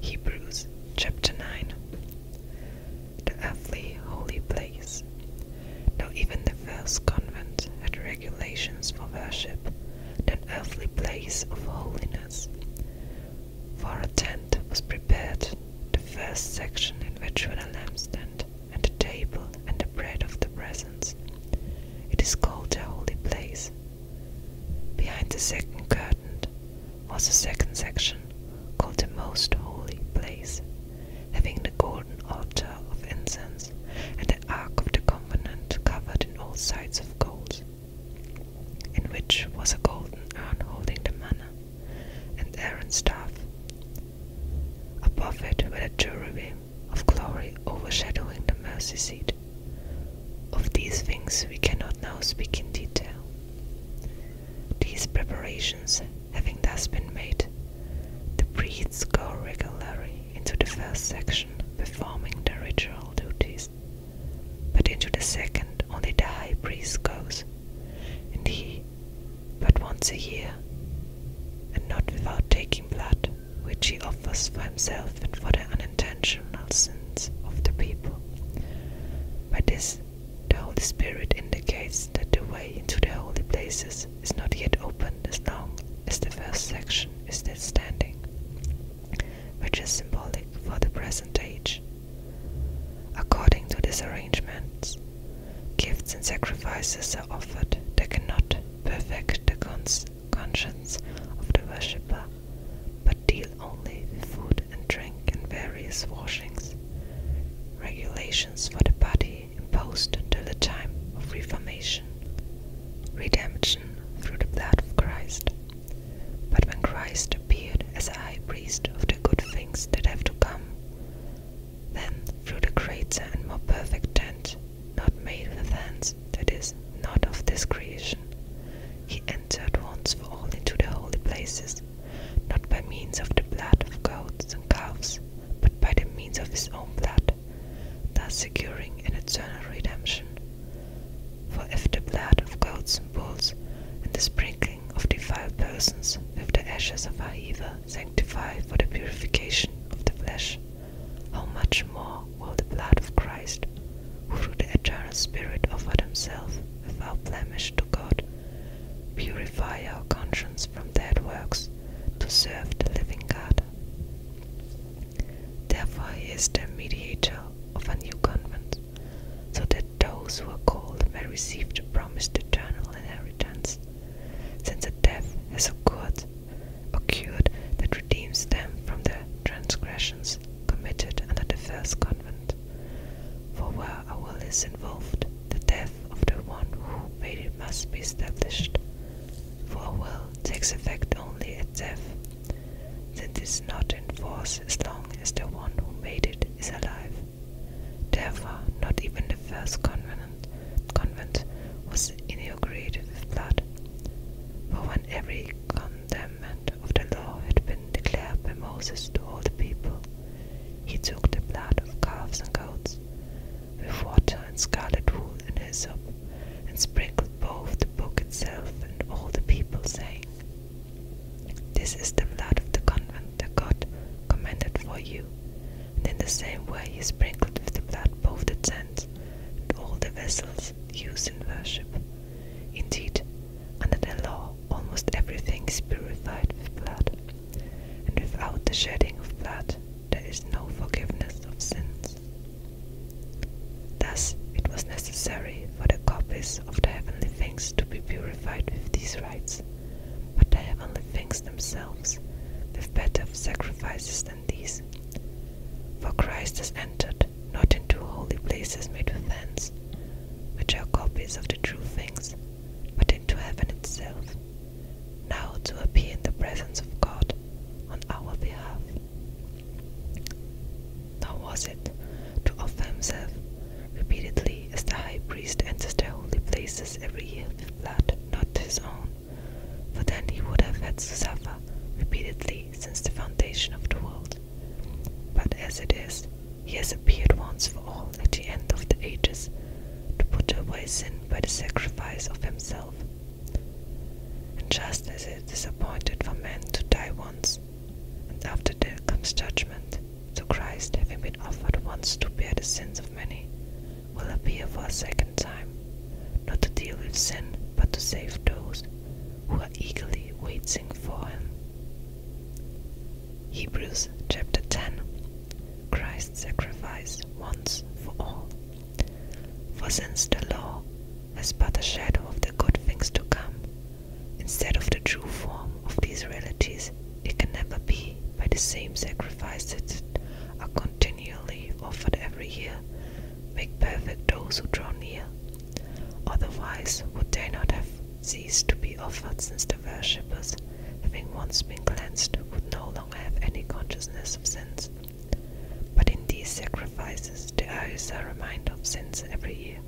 Hebrews chapter 9 The earthly holy place. Now even the first convent had regulations for worship, that earthly place of holiness. For a tent was prepared, the first section in which were the lampstand, and the table, and the bread of the presence. It is called the holy place Behind the second curtain was a second section called the Most Holy Place, having the golden altar of incense and the Ark of the Covenant covered in all sides of gold, in which was a golden urn holding the manna and Aaron's staff. Above it were the cherubim of glory overshadowing the mercy seat, of these things we cannot now speak in detail. These preparations having thus been made, the priests go regularly into the first section performing their ritual duties, but into the second only the high priest goes, and he but once a year, and not without taking blood, which he offers for himself and for the unintentionals of the people. By this, the Holy Spirit indicates that the way into the holy places is not yet open as long as the first section is still standing, which is symbolic for the present age. According to this arrangement, gifts and sacrifices are offered that cannot perfect the, cons conscience of the worshipper, but deal only with food and drink and various washings, regulations for the body imposed until the time of reformation, redemption through the blood of Christ. But when Christ appeared as a high priest of the good things that have to come, then through the greater and more perfect tent, not made with hands, that is not of this creation. He entered once for all into the holy places, not by means of the blood of goats and calves, but by the means of his own blood, thus securing an eternal redemption. For if the blood of goats and bulls and the sprinkling of defiled persons with the ashes of our evil sanctify for the purification of the flesh, how much more will the blood of Christ, who through the eternal Spirit offered himself without blemish to God, purify our conscience from dead works to serve the living God. Therefore, he is the mediator of a new covenant, so that those who are called may receive the promised eternal inheritance, since the death has occurred, occurred that redeems them from their transgressions committed under the first convent, for where a will is involved, the death of the one who made it must be established, for a will takes effect only at death, Then this is not in force as long as the one who made it is alive. Therefore, not even the first convent, convent was inaugurated with blood, for when every con commandment of the law had been declared by Moses to all the people, he took the blood of calves and goats, with water and scarlet wool and hyssop, and sprinkled both the book itself and all the people, saying, This is the blood of the covenant that God commanded for you. And in the same way he sprinkled with the blood both the tent and all the vessels instruments used in worship. Indeed, under the law, almost everything is purified with blood, and without the shedding of blood, there is no forgiveness of sins. Thus, it was necessary for the copies of the heavenly things to be purified with these rites, but the heavenly things themselves with better sacrifices than these. For Christ has entered not into holy places made with hands, which are copies of the true things, but into heaven itself, now to appear in the presence of God on our behalf. Nor was it to offer himself repeatedly as the high priest enters their holy places every year with blood not his own, for then he would have had to suffer repeatedly since the foundation of the world. But as it is, he has appeared once for all at the end of the ages to put away sin by the sacrifice of himself. And just as it is appointed for man to die once, and after death comes judgment, so Christ, having been offered once to bear the sins of many, will appear for a second time not to deal with sin, but to save those who are eagerly waiting for him. Hebrews chapter 10 Christ's sacrifice once for all. For since the law has but a shadow of the good things to come, instead of the true form of these realities, it can never be by the same sacrifice that are continually offered every year make perfect those who draw near. Otherwise would they not have ceased to be offered, since the worshippers, having once been cleansed, would no longer have any consciousness of sins. But in these sacrifices the there is are reminded of sins every year.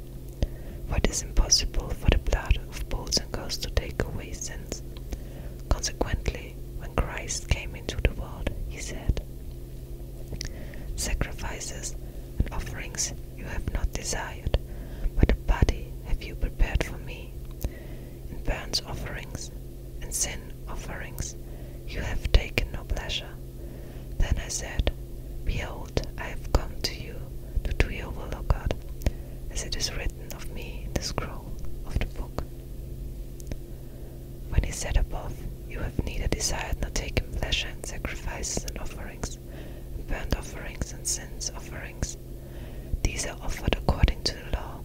What is impossible for the blood of bulls and goats to take away sins. Consequently, when Christ came into the world, he said, Sacrifices and offerings you have not desired, but a body have you prepared for me. In burnt offerings and sin offerings you have taken no pleasure. Then I said, Behold, I have come to you to do your will, O God, as it is written of me in the scroll of the book. When he said above, You have neither desired nor taken pleasure in sacrifices and offerings, burnt offerings and sins offerings. These are offered according to the law.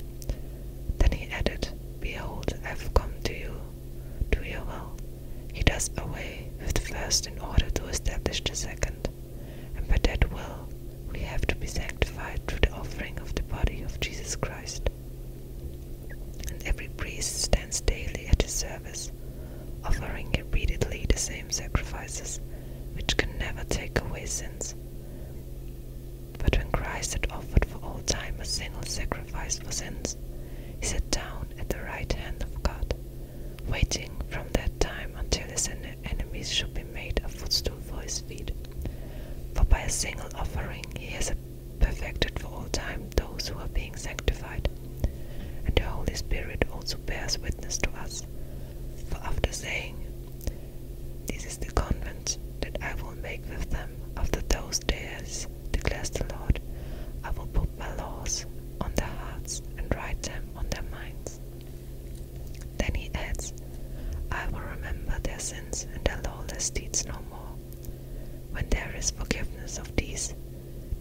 Then he added, Behold, I have come to you, do your will. He does away with the first in order to establish the second, and by that will we have to be sanctified through the offering of the body of Jesus Christ. And every priest stands daily at his service, offering repeatedly the same sacrifices, which can never take away sins. But when Christ had offered for all time a single sacrifice for sins, he sat down at the right hand of God, waiting from that time until his enemies should be made a footstool for his feet. For by a single offering he has perfected for all time those who are being sanctified. And the Holy Spirit also bears witness to us. For after saying, This is the covenant that I will make with them after those days, declares the Lord, I will put my laws on their hearts and write them on their minds. Then he adds, I will remember their sins and their lawless deeds no more. When there is forgiveness of these,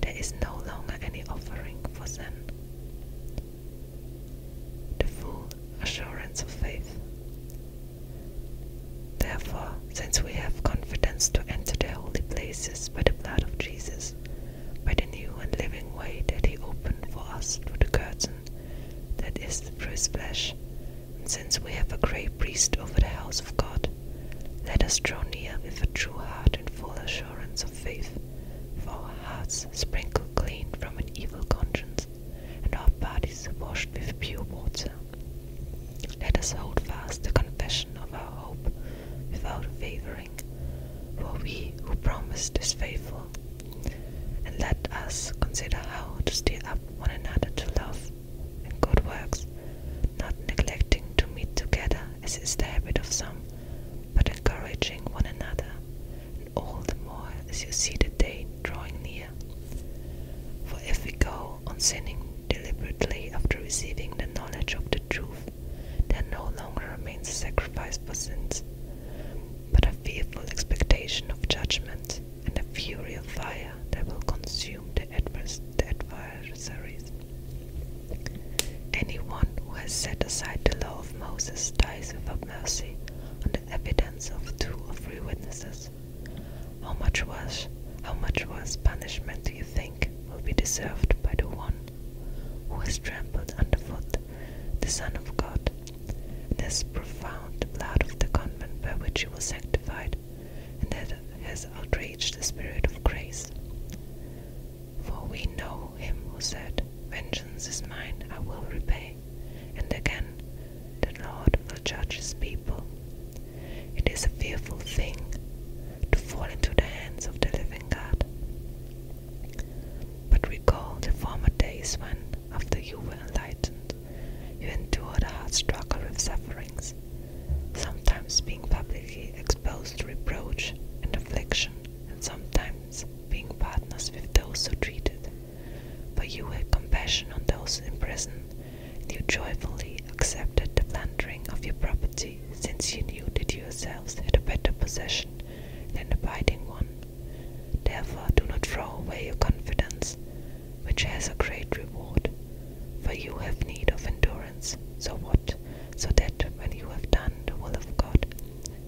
there is no longer any offering for sin. The full assurance of faith. Therefore, since we have confidence to enter the holy places by the blood of Jesus, by the new and living way that he opened for us through the curtain, that is, through his flesh, and since we have a great priest over the house of God, let us draw near with a true heart and full assurance of faith, for our hearts sprinkled clean from an evil conscience, and our bodies washed with pure water. Let us hold fast the confession of our hope without wavering, for he who promised is faithful. And let us consider how to stir up one another to love works and good works, not neglecting to meet together, as is the habit of some, but encouraging one another, and all the more as you see the day drawing near. For if we go on sinning deliberately after receiving the knowledge of the truth, there no longer remains a sacrifice for sins, but a fearful expectation of judgment and a fury of fire that will consume the, advers the adversaries. Anyone who has set aside the law of Moses dies without mercy on the evidence of two or three witnesses. How much worse, how much worse punishment do you think will be deserved by the one who has trampled underfoot the Son of God? This profound blood of the covenant by which he was sanctified and that has outraged the Spirit of grace. For we know him who said, Vengeance is mine, I will repay, and again, the Lord will judge his people. It is a fearful thing to fall into the hands of the living God. But recall the former days when, after you were enlightened, you endured a hard struggle with sufferings, sometimes being publicly exposed to reproach and affliction, and sometimes being partners with those who treated. But you had compassion on those in prison, and you joyfully accepted the plundering of your property, since you knew that yourselves had a better possession than abiding one. Therefore, do not throw away your confidence, which has a great reward. For you have need of endurance, so what? So that when you have done the will of God,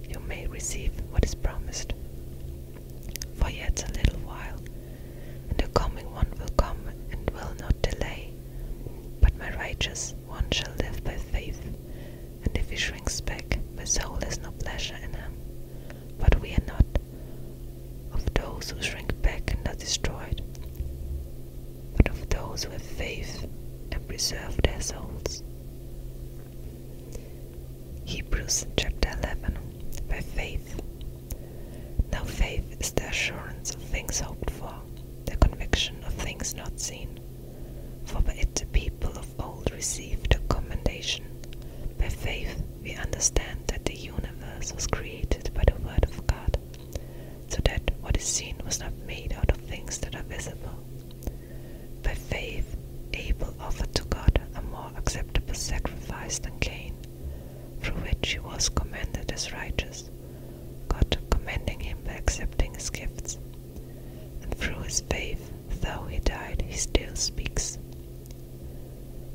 you may receive what is promised. For yet a little while, and the coming one will come and will not delay. But my righteous one shall live by faith, and if he shrinks back, my soul has no pleasure in him. But we are not of those who shrink back and are destroyed, but of those who have faith and preserve their souls. Hebrews chapter 11 By faith. Now faith is the assurance of things hoped for, the conviction of things not seen. For by it the people of old received the commendation. By faith, we understand that the universe was created by the Word of God, so that what is seen was not made out of things that are visible. By faith, Abel offered to God a more acceptable sacrifice than Cain, through which he was commended as righteous, God commending him by accepting his gifts. And through his faith, though he died, he still speaks.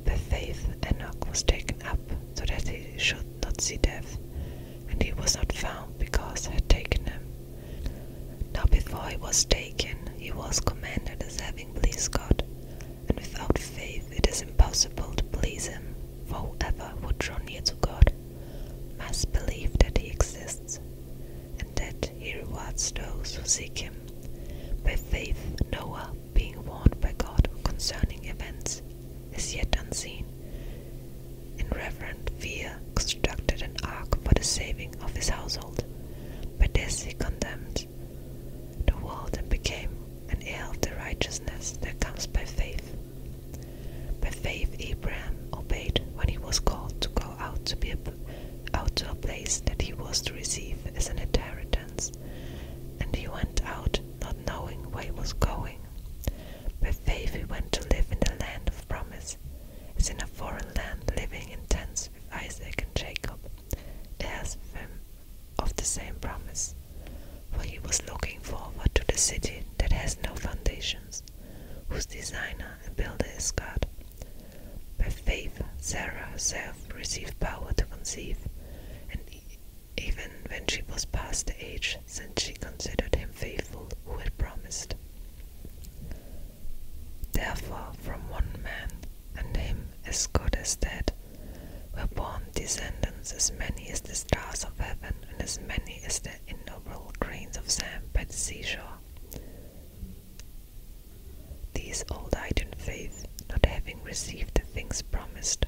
By faith, Enoch was taken up, so that he should not see death, and he was not found because I had taken him. Now, before he was taken, he was commanded as having pleased God, and without faith it is impossible to please him, for whoever would draw near to God must believe that he exists, and that he rewards those who seek him. By faith, Noah, being warned by God concerning events as yet unseen, in reverent fear constructed an ark for the saving of his household. But this he condemned the world and became an heir of the righteousness that comes by faith. By faith Abraham obeyed when he was called to go out to a place that he was to receive as an inheritance and he went out not knowing where he was going. By faith he went to live in the land of promise, as in a foreign land, living in tents with Isaac and Jacob, heirs of, him of the same promise. For he was looking forward to the city that has no foundations, whose designer and builder is God. By faith, Sarah herself received power to conceive, and even when she was past the age, since she considered him faithful who had promised. Therefore, from one man, and him as good as dead, were born descendants as many as the stars of heaven, and as many as the innumerable grains of sand by the seashore. These old eyed in faith, not having received the things promised,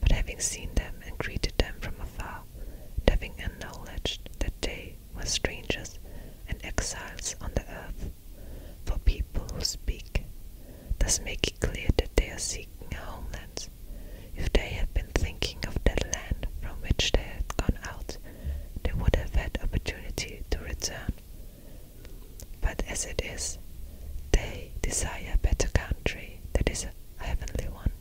but having seen them and greeted them from afar, having acknowledged that they were strangers and exiles on the earth, for people who speak, thus make it clear that they are seeking a homeland. If they had been thinking of the land from which they had gone out, they would have had opportunity to return but as it is, they desire a better country, that is a heavenly one.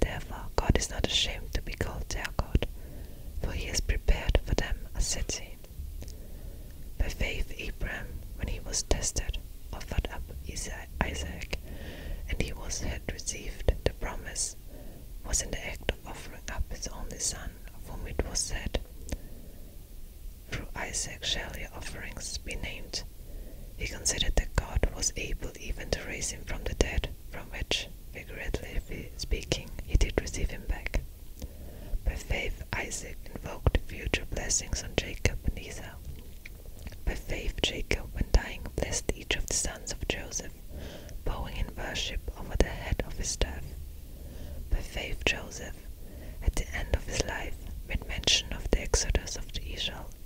Therefore, God is not ashamed to be called their God, for he has prepared for them a city. By faith, Abraham, when he was tested, offered up Isaac, and he was had received the promise, was in the act of offering up his only son from it was said, Through Isaac shall your offerings be named. He considered that God was able even to raise him from the dead, from which, figuratively speaking, he did receive him back. By faith, Isaac invoked future blessings on Jacob and Esau. By faith, Jacob, when dying, blessed each of the sons of Joseph, bowing in worship over the head of his staff, by faith, Joseph, at the end of his life, made mention of the exodus of the Israelites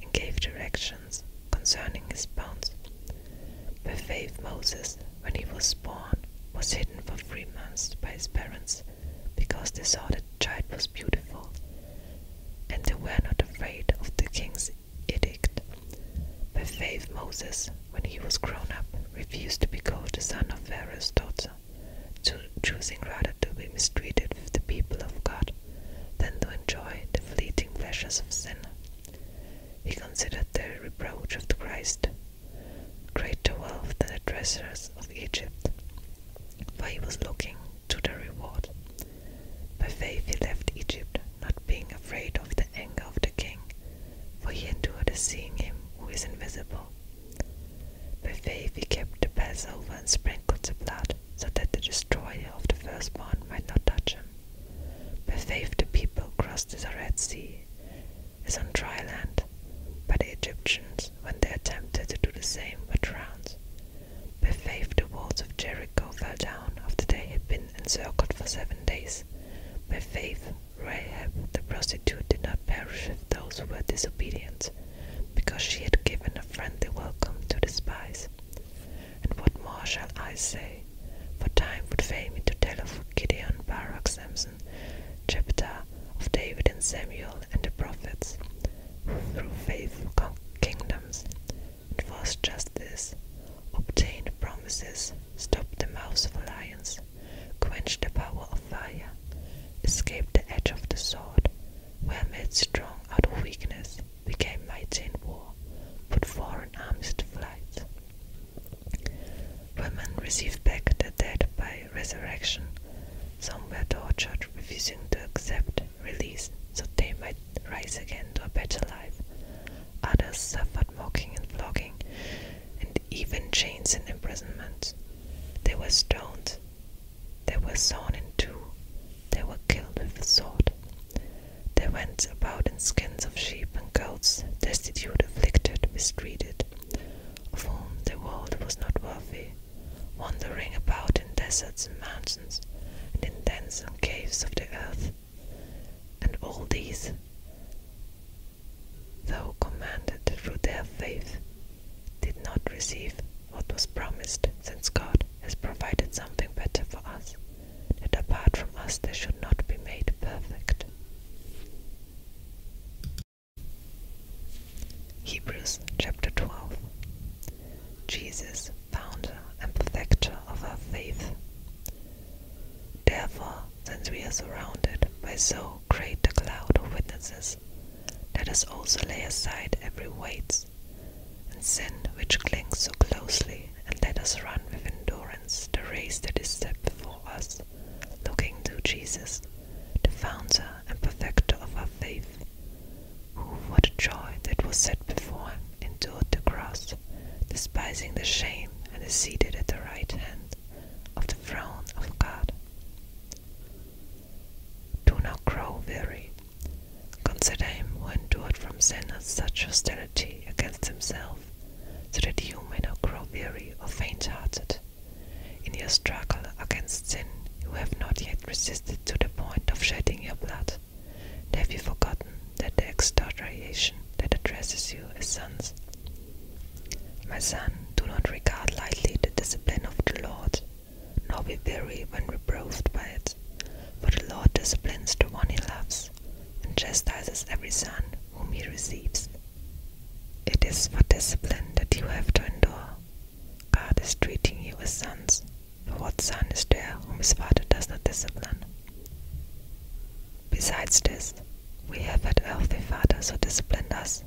and gave directions concerning his bounds. By faith, Moses, when he was born, was hidden for three months by his parents because they saw that the child was beautiful, and they were not afraid of the king's edict. By faith, Moses, when he was grown up, refused to be called the son of Pharaoh's daughter, choosing rather to be mistreated with the people of God than to enjoy the fleeting pleasures of sin. He considered the reproach of the Christ greater wealth than the treasures of Egypt, for he was looking to the reward. By faith he left Egypt, not being afraid of the anger of the king, for he endured as seeing him who is invisible. By faith he kept the Passover and sprinkled the blood, so that the destroyer of the firstborn might not touch him. By faith the people crossed the Red Sea as on dry land, By the Egyptians, when they attempted to do the same, were drowned. By faith the walls of Jericho fell down after they had been encircled for seven days. By faith, Rahab the prostitute did not perish with those who were disobedient, because she had given a friendly welcome to the spies. And what more shall I say? For time would fail me to tell of Gideon, Barak, Samson, Jephthah, of David and Samuel and the prophets, who through faith conquered kingdoms, enforced justice, obtained promises, stop the mouths of lions, quench the power of fire, escape the edge of the sword, were made strong out of weakness, became mighty in war, put foreign arms to flight. Women receive back their dead by resurrection. Some were tortured, refusing to accept release so they might rise again to a better life. Others suffered mocking and flogging, and even chains and imprisonment. They were stoned, they were sawn in two, they were killed with the sword. They went about in skins of sheep and goats, destitute, afflicted, mistreated, of whom the world was not worthy, wandering about in deserts and mountains, and in dens and caves of the earth, and all these though commanded through their faith, did not receive what was promised, since God has provided something better for us, that apart from us they should not be made perfect. Hebrews chapter 12 Jesus, founder and perfecter of our faith. Therefore, since we are surrounded by so great a cloud of witnesses, let us also lay aside every weight and sin which clings so closely, and let us run with endurance the race that is set before us, looking to Jesus, the founder and perfecter of our faith, who, for the joy that was set before endured the cross, despising the shame, and is seated at the right hand of the throne of God. Do not grow weary. Consider him who endured from sinners such hostility against himself, so that you may not grow weary or faint hearted. In your struggle against sin, you have not yet resisted to the point of shedding your blood. Have you forgotten that the exhortation that addresses you as sons? My son, do not regard lightly the discipline of the Lord, nor be weary when reproved by it. For the Lord disciplines the one he loves, and chastises every son whom he receives. It is for discipline that you have to endure. God is treating you as sons, for what son is there whom his father does not discipline? Besides this, we have had earthly fathers who disciplined us,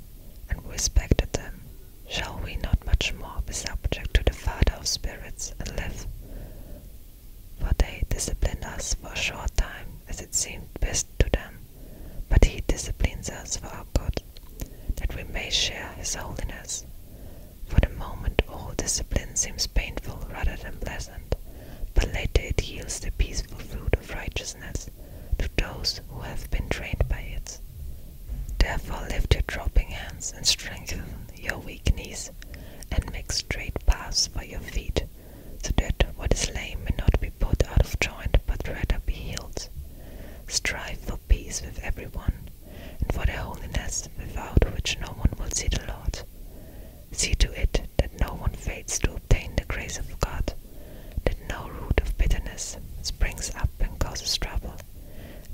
and we respected them. Shall we not much more be subject to the Father of spirits and live? For they disciplined us for a short time, as it seemed best to them, but he disciplines us for our good, that we may share his holiness. For the moment, all discipline seems painful rather than pleasant, but later it yields the peaceful fruit of righteousness to those who have been trained by it. Therefore lift your dropping hands and strengthen your weak knees, and make straight paths by your feet, so that what is lame may not be put out of joint, but rather be healed. Strive for peace with everyone, and for their holiness, without which no one will see the Lord. See to it that no one fails to obtain the grace of God, that no root of bitterness springs up and causes trouble,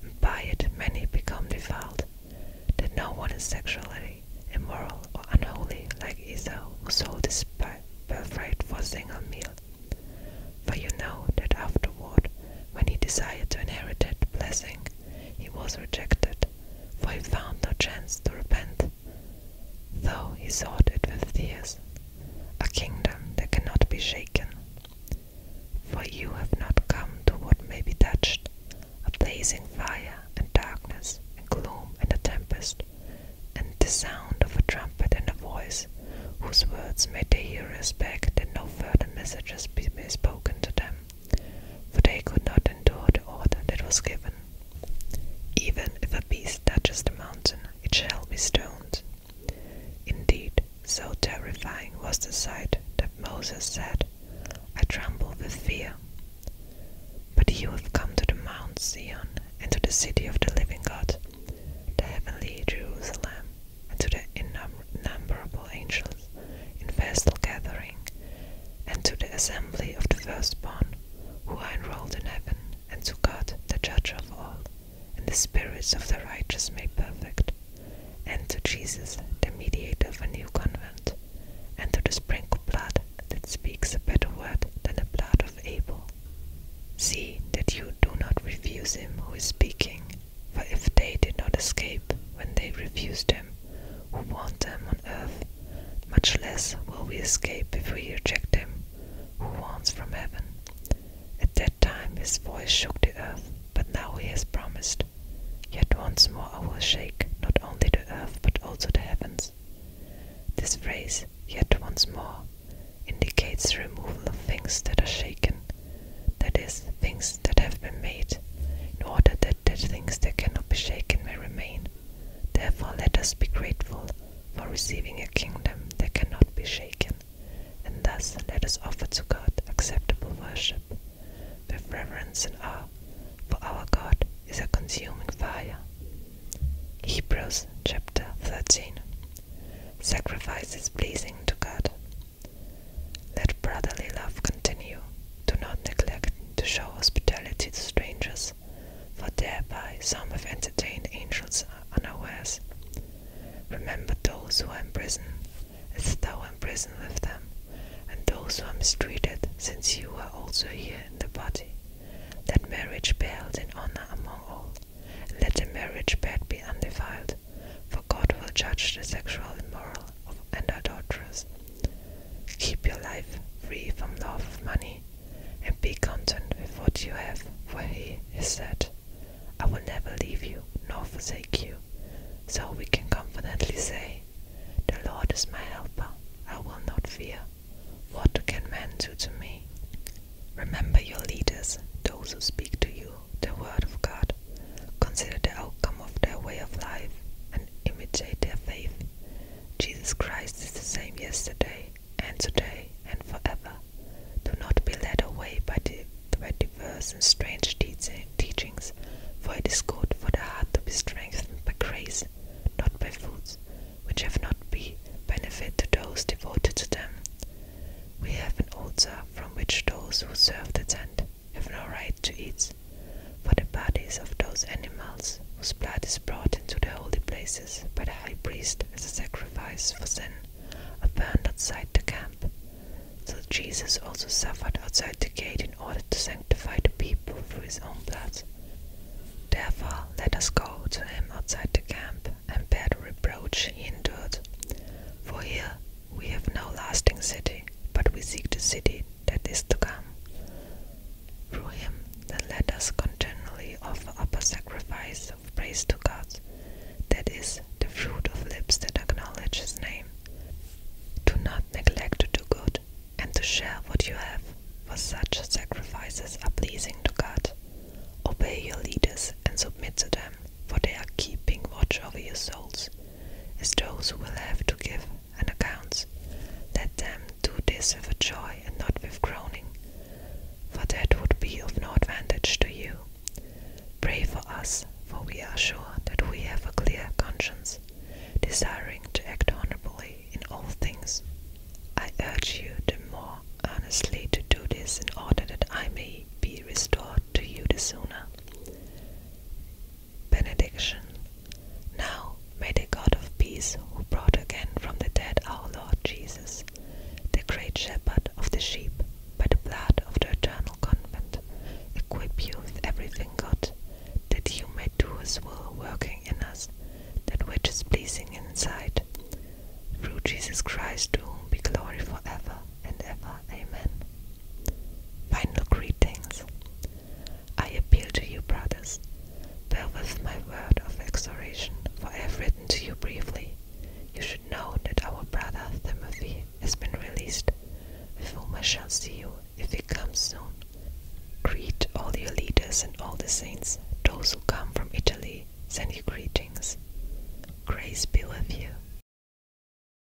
and by it many become defiled, that no one is sexually immoral or unholy like Esau, who sold his birthright for a single meal. For you know that afterward, when he desired to inherit the blessing, he was rejected, for he found no chance to repent, though he sought it with tears, a kingdom that cannot be shaken. For you have not come to what may be touched, a blazing fire and darkness and gloom and a tempest, and the sound of a trumpet and a voice, whose words made the hearers beg that no further messages be spoken to them for they could not endure the order that was given. Even if a beast touches the mountain, it shall be stoned. Indeed, so terrifying was the sight that Moses said, I tremble with fear. But you have come to the Mount Zion, and to the city of the living God, the heavenly Jerusalem, and to the innumerable angels month in festal gathering, and to the assembly of the firstborn, who are enrolled in heaven, and to God the judge of all, and the spirits of the righteous made perfect, and to Jesus, the mediator of a new covenant, and to the sprinkled blood that speaks a better word than the blood of Abel. See that you do not refuse him who is speaking, for if they did not escape when they refused him, who want them on earth, much less will we escape if we reject them. who wants from heaven. At that time his voice shook the earth, but now he has promised. Yet once more I will shake not only the earth but also the heavens. This phrase, yet once more, indicates the removal of things that are shaken, that is, things that have been made, in order that that things that cannot be shaken may remain. Therefore, let us be grateful for receiving a kingdom that cannot be shaken, and thus let us offer to God acceptable worship with reverence and awe, for our God is a consuming fire. Hebrews chapter 13 sacrifices pleasing to God. Let brotherly love continue. Do not neglect to show hospitality to strangers, for thereby some have entertained angels unawares. Remember those who are in prison, as thou in prison with them, and those who are mistreated, since you are also here in the body. Let marriage be held in honor among all. Let the marriage bed be undefiled, for God will judge the sexual immoral and adulterers. Keep your life free from love of money, and be content with what you have, for he has said, I will never leave you nor forsake you. So we can confidently say, The Lord is my helper, I will not fear. What can man do to me? Remember your leaders, those who speak to you the word of God, consider the outcome of their way of life, and imitate their faith. Jesus Christ is the same yesterday and today and forever. Do not be led away by, diverse and strange teachings, for it is good for the heart to be strengthened by grace, not by foods, which have not been benefit to those devoted to them. We have an altar from which those who serve attend have no right to eat, for the bodies of those animals whose blood is brought into the holy places by the high priest as a sacrifice for sin are burned outside the camp. So Jesus also suffered outside the gate in order to sanctify the people through his own blood. Therefore, let us go to him outside the camp and bear the reproach he endured. For here we have no lasting city, but we seek the city that is to come. Through him, then let us continually offer up a sacrifice of praise to God, that is, the fruit of lips that acknowledge his name. Do not neglect to do good, and to share what you have, for such sacrifices are pleasing to God. Obey your leaders and submit to them, for they are keeping watch over your souls as those who will have to give an account. Let them do this with joy and not with groaning, for that would be of no advantage to you. Pray for us, for we are sure that we have a clear conscience, desiring to act honorably in all things. I urge you the more earnestly to do this in order that I may be restored to you the sooner benediction. Now may the God of peace, who brought again from the dead our Lord Jesus, the great shepherd of the sheep, by the blood of the eternal covenant, equip you with everything God, that you may do his will working in us, that which is pleasing in his sight. Through Jesus Christ, to whom be glory forever and ever. Amen. Final greetings. I appeal to you, brothers. Bear with my word of exhortation, for I have written to you briefly. You should know that our brother Timothy has been released, with whom shall see you if he comes soon. Greet all your leaders and all the saints. Those who come from Italy send you greetings. Grace be with you.